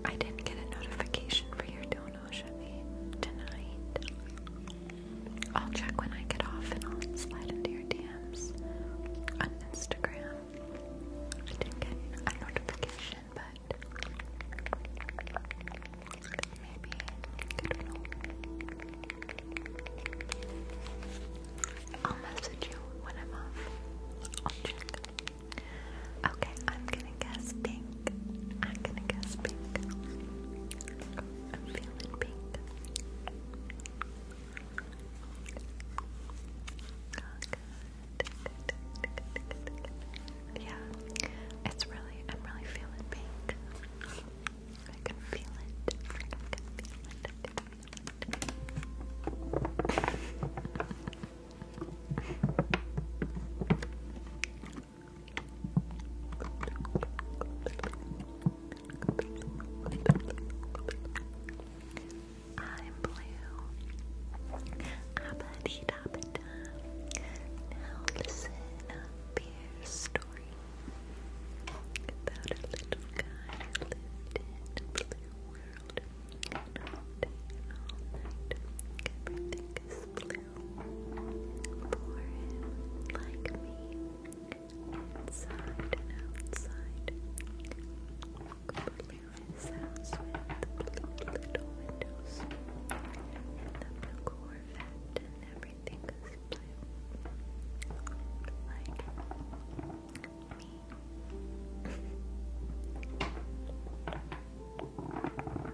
A: I didn't get a notification for your donut tonight. I'll check when I get off and I'll slide into your DMs on Instagram. I get a notification, but maybe good know. I'll message you when I'm off. I'll check. Okay, I'm gonna guess pink. I'm gonna guess pink. I'm feeling pink. Yeah, it's really, I'm really feeling pink. I can feel it. I'm blue. Abadi dabada. Now listen up your story about a little guy who lived in a blue world. And all and all night, everything is blue for him, like me, inside and outside. Walk through his house with little windows, the blue Corvette and everything is blue, like me.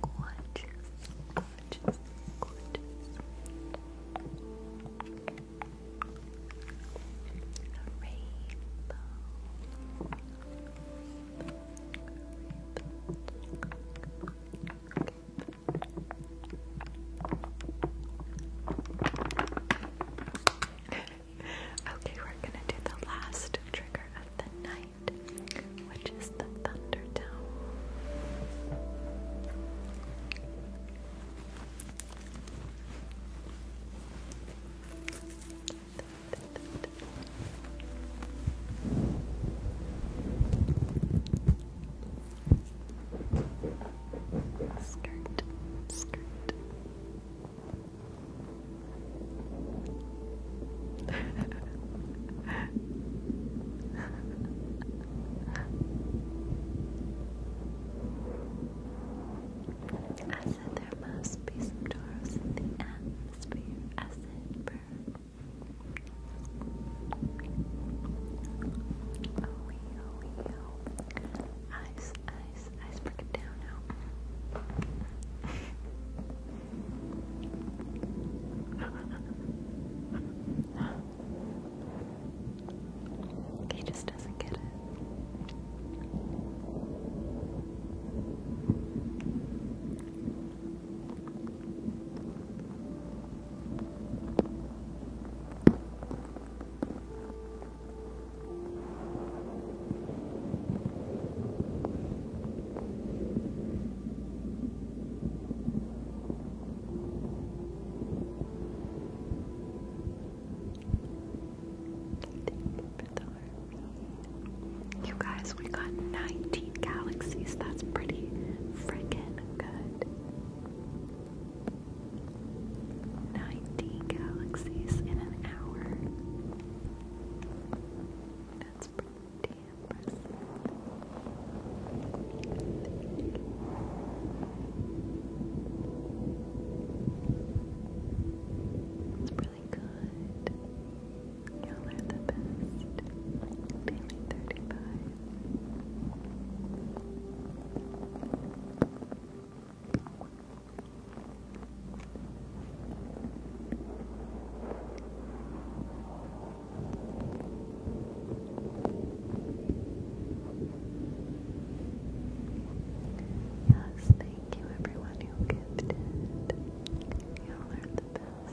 A: Gorgeous, gorgeous, gorgeous. Rainbow. Rainbow okay, we're gonna do the last trigger of the night, which is the thunder Skirt, skirt. I said there must be some Taurus in the atmosphere. I said, burn, Oh, yo, yo. break it down now. he just doesn't get it. You guys, we got 19 galaxies. That's pretty freaking good. Ninety galaxies in an hour. That's pretty impressive. It's really good. Y'all are the best. Daily 35. Yes, thank you everyone who gifted. Y'all the best.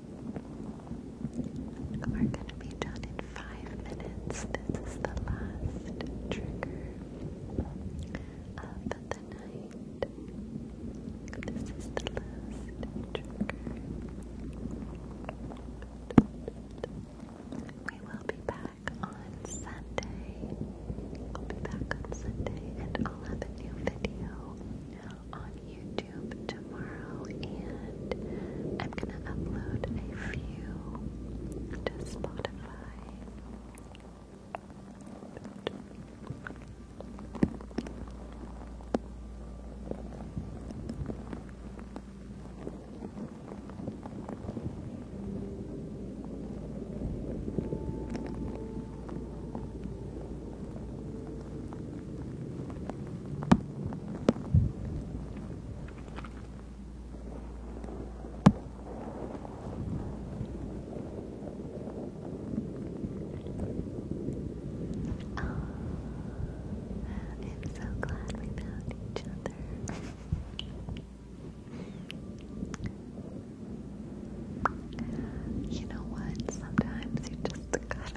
A: We're gonna be done in five minutes. This is the last trigger of the night. This is the last trigger. We will be back on Sunday. We'll be back on Sunday and I'll have a new video on YouTube tomorrow, and I'm gonna upload a few to Spotify. I'm so glad we found each other. you know what? Sometimes you just gotta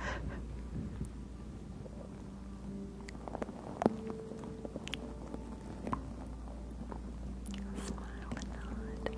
A: Smile and nod.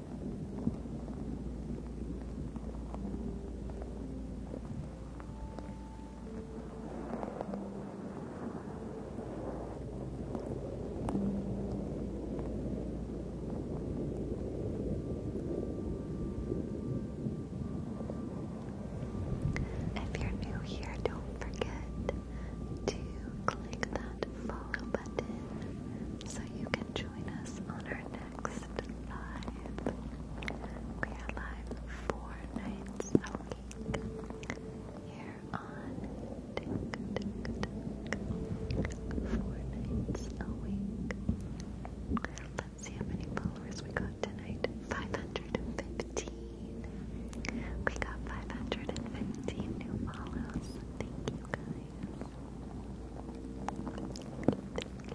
A: If you're new here, don't forget to click that follow button so you can join us on our next live. We are live four nights a week here on TikTok. Four nights a week. Let's see how many followers we got tonight. 515. We got 515 new follows. Thank you guys. Thank you,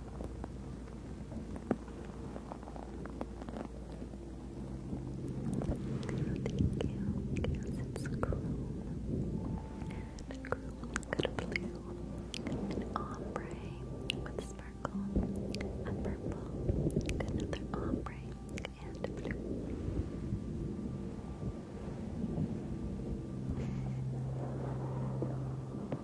A: it's cool. And cool. Got blue, an ombre with sparkle, a purple, another ombre, and blue.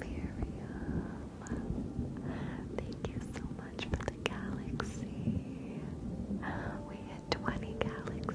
A: Period. Thank you so much for the galaxy. We hit 20 galaxies.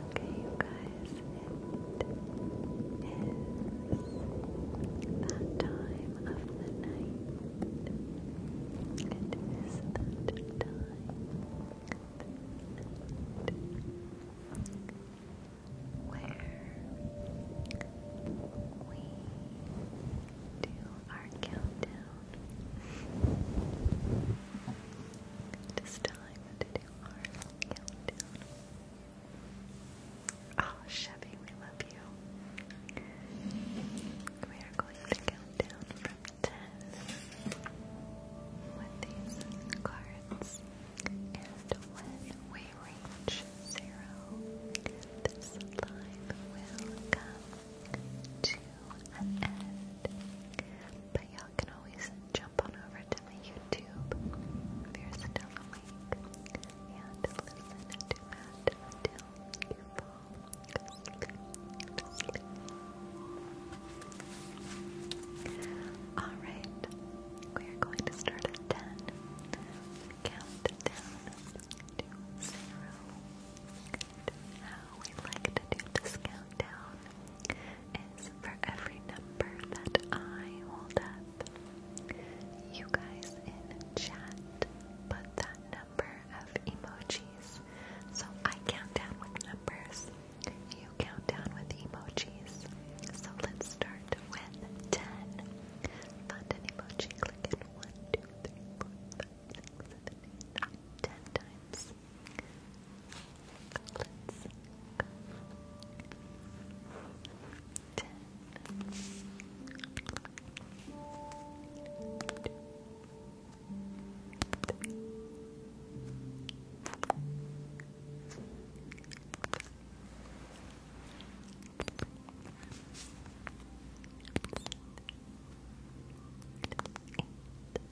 A: Okay, you guys, it is that time of the night. It is that time. where we do our countdown. It is time to do Oh, Chevy, we love you. We are going to count down from 10 with these cards. And when we reach zero, this live will come to but y'all can always jump on over to my YouTube if you're and listen to it until you fall Alright, we are going to start at 10. Count down to zero how we like to do this countdown is for every number that I hold up, you guys in chat put that number of emojis. So I count down with numbers, you count down with emojis. So let's start with 10. Find emoji, click it 1, 10 times. Let's go. Ten. Two. Three. Eight.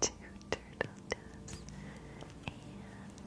A: Two turtle doves and a partridge.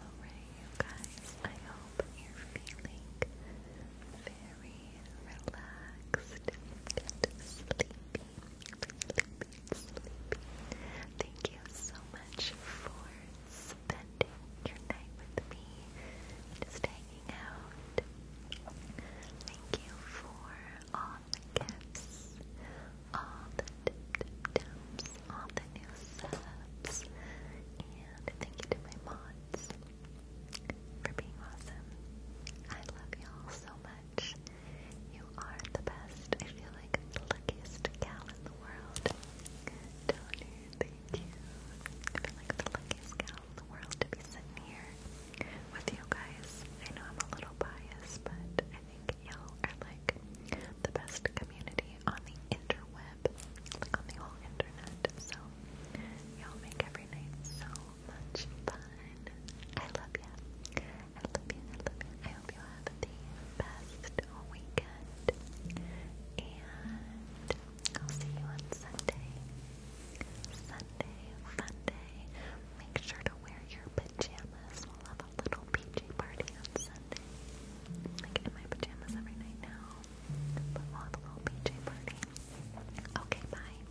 A: Alright, you guys, I hope you're feeling very relaxed and sleepy. Thank you so much for spending your night with me, just hanging out. Thank you for all the gifts, all the tips, all the new subs, and thank you to my mods for being awesome. I love y'all so much. You are the best. I feel like the luckiest gal in the world. Donor, thank you. I feel like the luckiest gal in the world to be sitting here with you guys. I know I'm a little biased, but I think y'all are like the best community on the interweb, like on the whole internet. So y'all make every night so much fun. I love ya. I love you. I love you. I hope you have the best weekend. And I'll see you on Sunday. Sunday, Monday. Make sure to wear your pajamas. We'll have a little PJ party on Sunday. Like in my pajamas every night now. But a little PJ party. Okay, bye.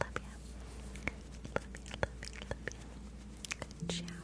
A: Love ya. Love ya, love ya, love ya. Ciao.